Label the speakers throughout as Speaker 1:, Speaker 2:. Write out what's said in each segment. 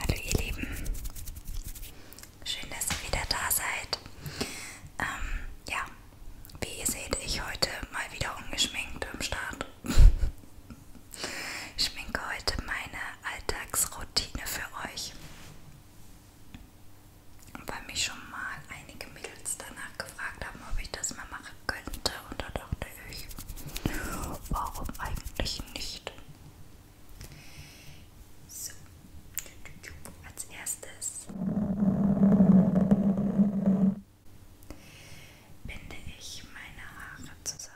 Speaker 1: Hallo ihr Lieben, schön, dass ihr wieder da seid. Ähm, ja, wie ihr seht, ich heute mal wieder ungeschminkt im Start. ich schminke heute meine Alltagsroutine für euch, weil mich schon mal einige Mädels danach gefragt haben, ob ich das mal mache machen könnte. Und da dachte ich, warum eigentlich nicht? So, als erstes binde ich meine Haare zusammen.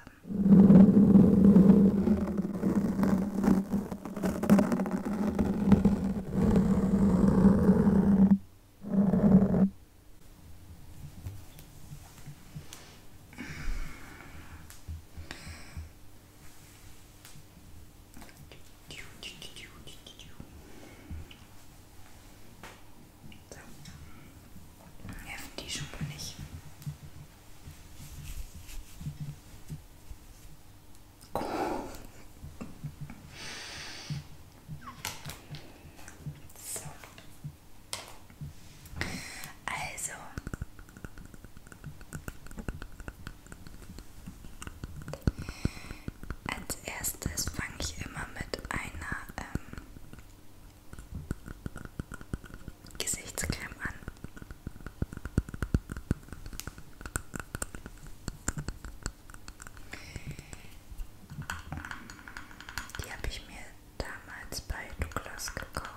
Speaker 1: Nerven die Schuppe nicht. Oh. So. Also. Als erstes fange ich immer mit einer ähm, Gesichtscreme an. Die habe ich mir damals bei Douglas gekauft.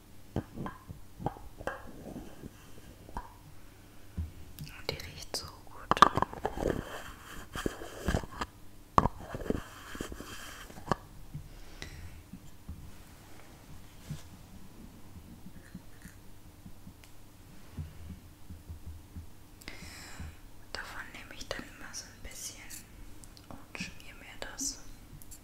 Speaker 1: Und die riecht so gut. Davon nehme ich dann immer so ein bisschen und schmier mir das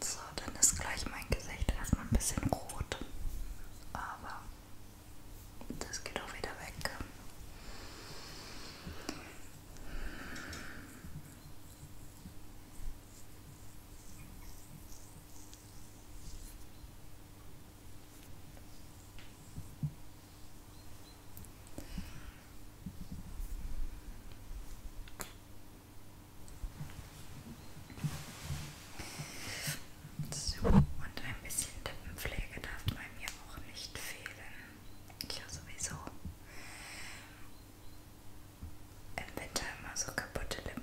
Speaker 1: So, dann ist gleich mein Gesicht erstmal ein bisschen rot, aber das geht auch wieder weg. So, und ein bisschen Lippenpflege darf bei mir auch nicht fehlen. Ich habe sowieso im Winter immer so kaputte Lippen.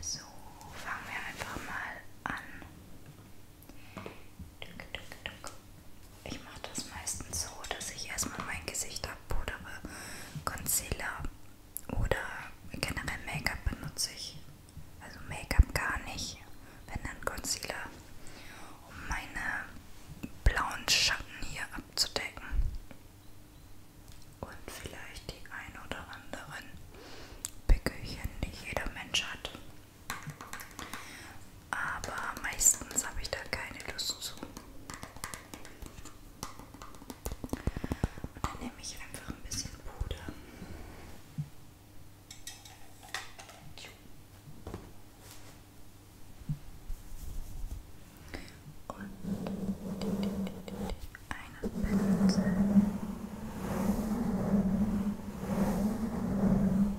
Speaker 1: So. Also fangen wir einfach mal an. Duck, duck, duck. Ich mache das meistens so, dass ich erstmal mein Gesicht abpudere. Concealer oder generell Make-up benutze ich. Also Make-up gar nicht, wenn dann Concealer, um meine blauen Schatten hier abzudecken. Und vielleicht die ein oder anderen Pickelchen, die jeder Mensch hat aber meistens habe ich da keine Lust zu. Und dann nehme ich einfach ein bisschen Puder. Und einen Pinsel.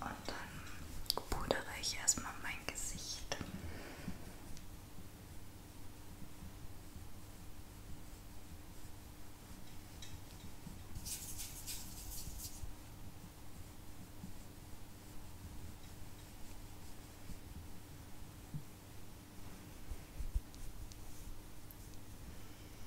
Speaker 1: Und dann pudere ich erstmal mein Gesicht.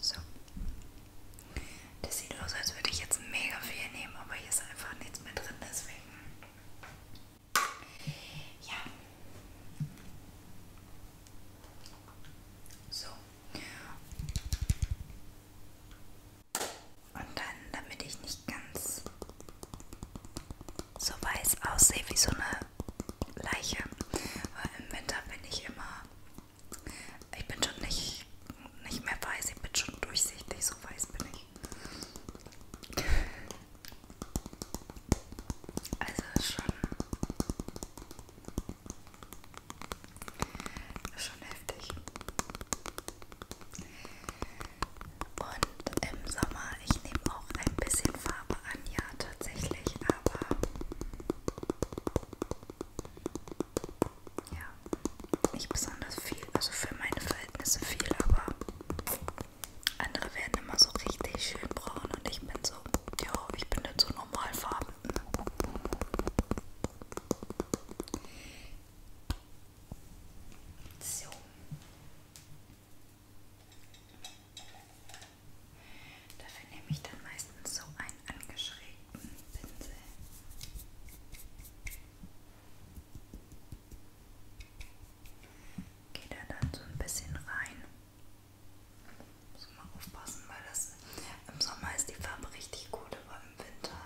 Speaker 1: So. Das sieht aus, als würde ich jetzt mega viel nehmen, aber hier ist einfach nichts mehr drin, deswegen ja. So. Und dann, damit ich nicht ganz so weiß aussehe wie so eine Leiche, weil im Winter bin ich immer, ich bin schon nicht, nicht mehr weiß, ich bin schon durchsichtig, so weiß bin ich. Also schon, schon heftig. Und im Sommer, ich nehme auch ein bisschen Farbe an, ja tatsächlich, aber ja, nicht besonders viel, also für meine Verhältnisse viel, aber andere werden immer so richtig schön braun und ich bin so, ja, ich bin jetzt so normalfarben. So. Dafür nehme ich dann meistens so einen angeschrägten Pinsel geht er dann so ein bisschen rein. Muss mal aufpassen, weil das im Sommer ist die Farbe richtig gut, aber im Winter.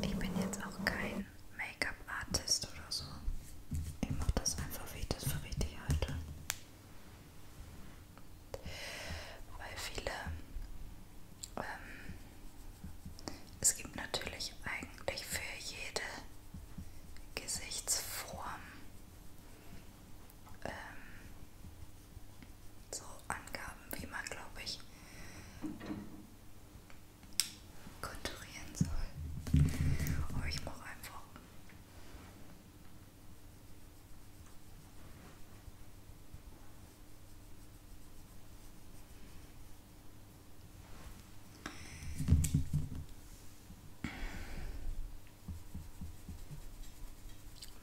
Speaker 1: Ich bin jetzt auch kein Make-up-Artist oder so. Ich mache das einfach, wie ich das für richtig halte. Weil viele, ähm, es gibt natürlich eigentlich für jede Gesichtsform ähm, so Angaben, wie man, glaube ich, konturieren soll. Aber ich mache einfach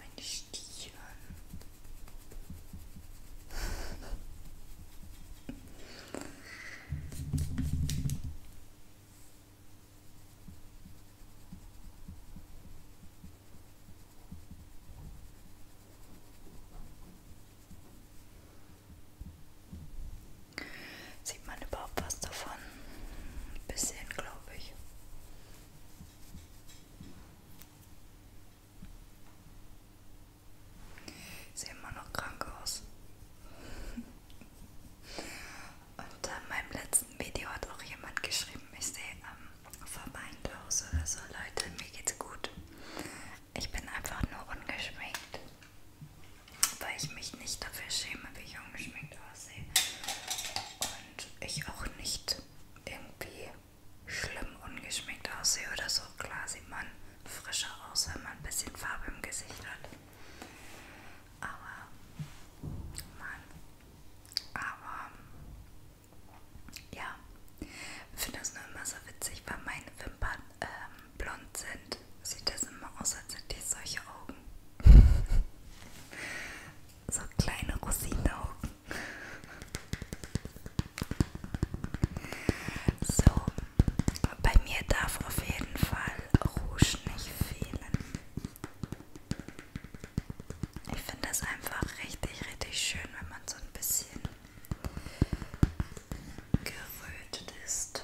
Speaker 1: meine Stiefel. Sieht man überhaupt was davon? Ein bisschen, glaube ich. Sehe immer noch krank aus. Und in meinem letzten Video hat auch jemand geschrieben, ich sehe ähm, verweint aus oder so. Leute, mir geht's gut. Ich bin einfach nur ungeschminkt, weil ich mich nicht dafür schäme, wie ich ungeschminkt aussehe. Und ich auch nicht irgendwie schlimm ungeschminkt aussehe oder so. Klar sieht man frischer aus, wenn man ein bisschen Farbe im Gesicht hat. Aber, Mann, aber, ja, ich finde das nur immer so witzig, weil meine Wimpern ähm, blond sind. Sieht das immer aus, als hätte ich solche Augen. so kleine Rosinenaugen. So, bei mir darf auf jeden Fall Rouge nicht fehlen. Ich finde das einfach richtig, richtig schön, wenn man so ein bisschen gerötet ist.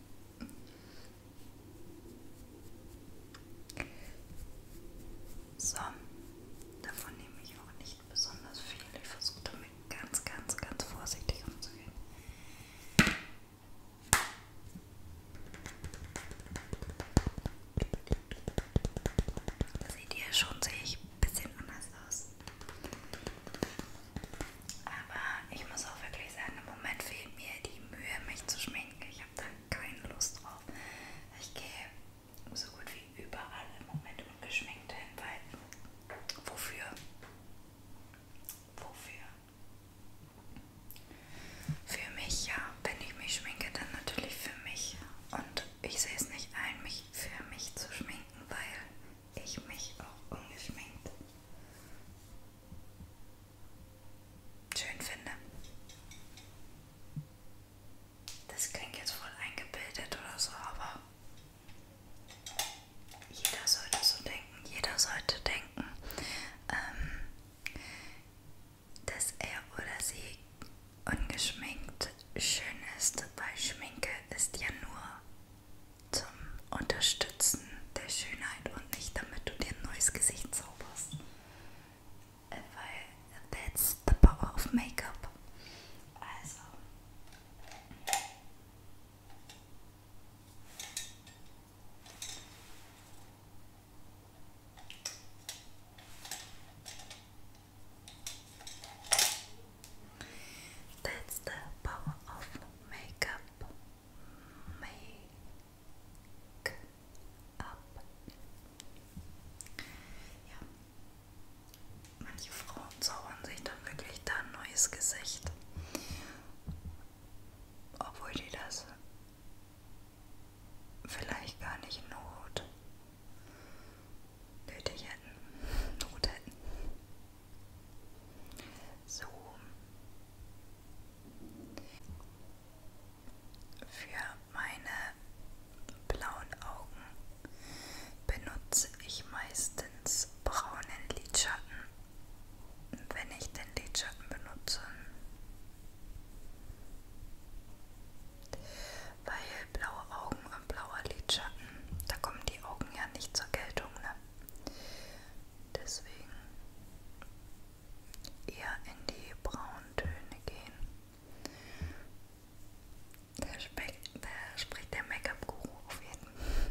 Speaker 1: So, davon nehme ich auch nicht besonders viel. Ich versuche damit ganz, ganz, ganz vorsichtig umzugehen. Seht ihr schon, sehe ich ein bisschen anders aus. Aber ich muss auch wirklich sagen, im Moment fehlt mir die Mühe, mich zu schminken. Ich habe da keine Lust drauf. Ich gehe so gut wie überall im Moment ungeschminkt hin, weil wofür? Wofür? Für mich ja. Wenn ich mich schminke, dann natürlich für mich. Und ich sehe es nicht ein, mich für mich zu schminken, weil ich mich auch ungeschminkt schön finde. Das klingt jetzt voll eingebildet oder so, aber jeder sollte so denken, jeder sollte denken, ähm, dass er oder sie ungeschminkt schön ist, weil Schminke ist ja nur zum Unterstützen der Schönheit und nicht damit du dir ein neues Gesicht zauberst. Äh, weil that's the power of Make-up. Also. That's the power of makeup. Make up. Ja. Manche Frauen zaubern sich dann wirklich da ein neues Gesicht. Obwohl die das vielleicht gar nicht not nötig hätten. Not hätten so für meine blauen Augen benutze ich meistens braunen Lidschatten, wenn ich den Lidschatten benutze. Weil blaue Augen und blauer Lidschatten, da kommen die Augen ja nicht zur Geltung. Ne? Deswegen eher in die Brauntöne gehen. Da, da spricht der Make-up-Guru auf jeden Fall.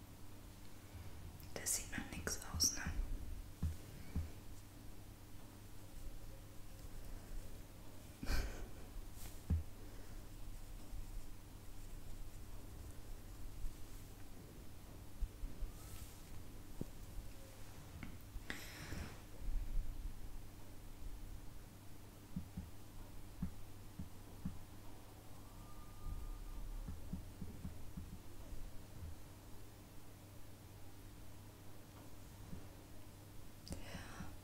Speaker 1: Das sieht nach nichts aus, ne?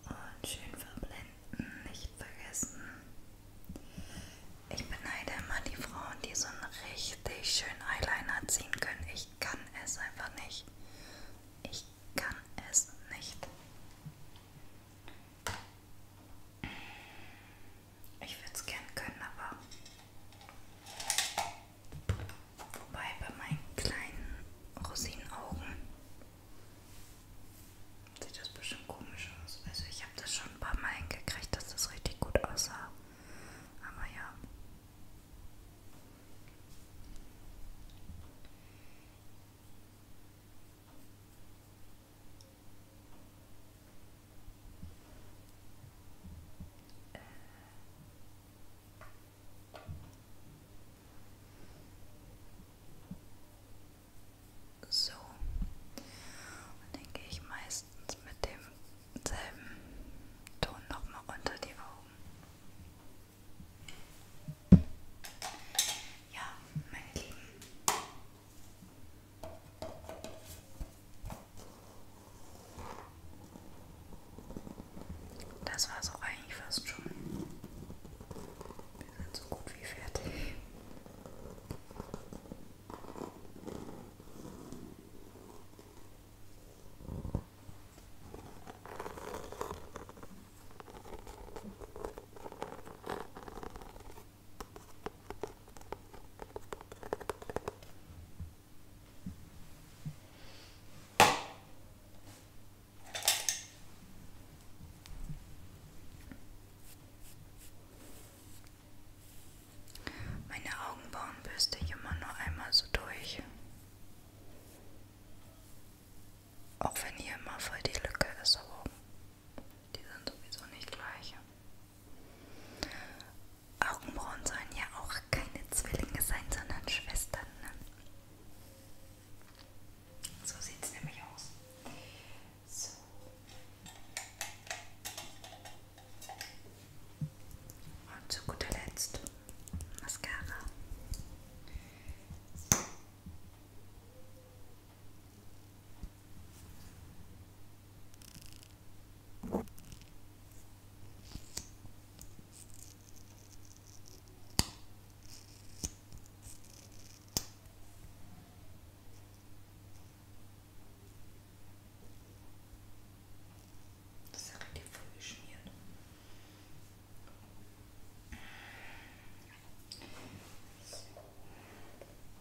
Speaker 1: Und schön verblenden, nicht vergessen. Ich beneide immer die Frauen, die so einen richtig schönen Eyeliner ziehen können. Ich kann es einfach nicht. Ich kann es nicht. Ich würde es gern können, aber. Wobei bei meinen kleinen Rosinenaugen sieht das bestimmt komisch aus. Also, ich habe das schon ein paar Mal hingekriegt, dass das richtig gut aussah. Aber ja. Äh. So, und dann gehe ich meistens mit demselben Ton nochmal unter die Augen. Ja, meine Lieben, das war es auch eigentlich fast schon. Wir sind so gut wie fertig. Meine Augenbrauen bürste ich immer nur einmal so durch. Auch wenn hier immer voll die Lücke ist, aber die sind sowieso nicht gleich. Augenbrauen sollen ja auch keine Zwillinge sein, sondern Schwestern. Ne? So sieht es nämlich aus. So. Und zu guter Letzt Mascara. So. Das ist ja richtig voll geschmiert. So.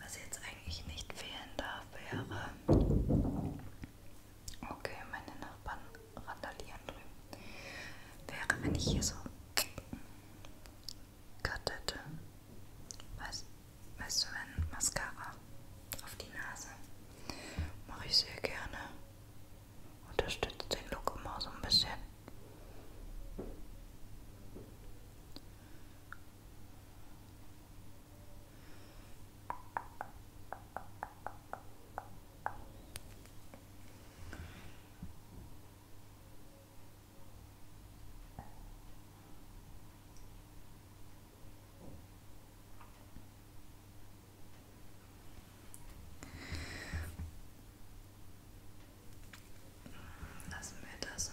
Speaker 1: Was jetzt eigentlich nicht fehlen darf, wäre. Okay, meine Nachbarn randalieren drüben. Wäre, wenn ich hier so Cut hätte. Weißt, weißt du, wenn Mascara auf die Nase mache ich sehr gerne. Unterstützt den Look immer so ein bisschen. Lassen wir das.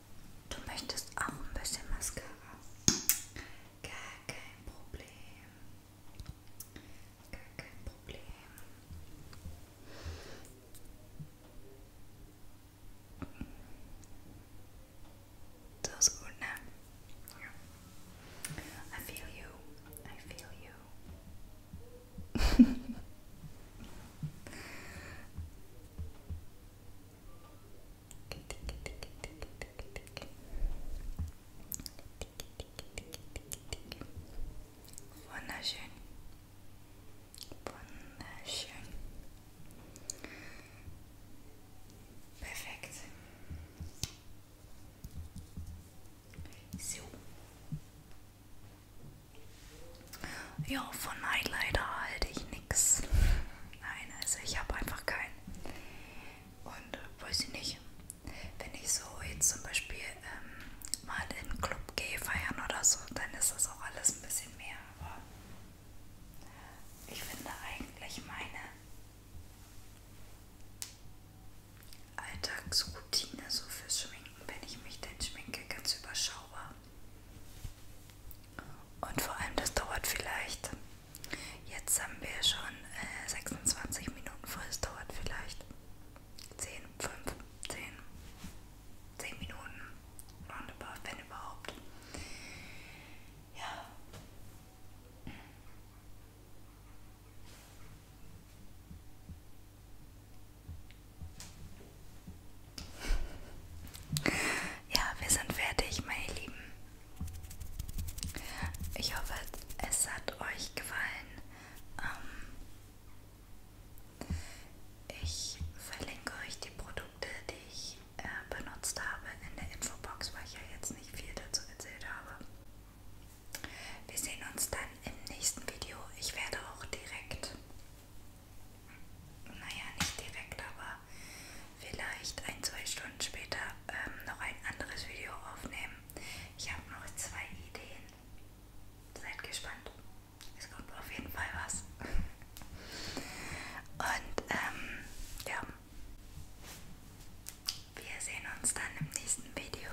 Speaker 1: Du möchtest auch ein bisschen Mascara. Gar kein Problem. Gar kein Problem. Das ist gut, ne? Ja. I feel you. I feel you. Wunderschön. Wunderschön. Perfekt. So. Ja, von Highlighter halte ich nix. Nein, also ich habe einfach keinen. Und äh, weiß ich nicht, wenn ich so jetzt zum Beispiel ähm, mal in den Club gehe, feiern oder so, dann ist das auch alles ein bisschen mehr. Aber ich finde eigentlich meine Alltagsroutine so fürs Schminken, wenn ich mich denn schminke, ganz überschaubar. Und vor allem, das dauert vielleicht. Jetzt haben wir schon äh, 26 Minuten voll. Es dauert vielleicht 10, 5, 10, 10 Minuten. Roundabout, wenn überhaupt. Ja. Ja, wir sind fertig, meine Lieben. Ich hoffe, es hat euch gefallen. Ähm, ich verlinke euch die Produkte, die ich äh, benutzt habe, in der Infobox, weil ich ja jetzt nicht viel dazu erzählt habe. Wir sehen uns dann im nächsten Video. Ich werde auch direkt naja, nicht direkt, aber vielleicht ein, zwei Stunden später ähm, noch ein anderes Video aufnehmen. Ich habe noch zwei Ideen. Seid gespannt. Es kommt auf jeden Fall was. Und ähm, ja. Wir sehen uns dann im nächsten Video.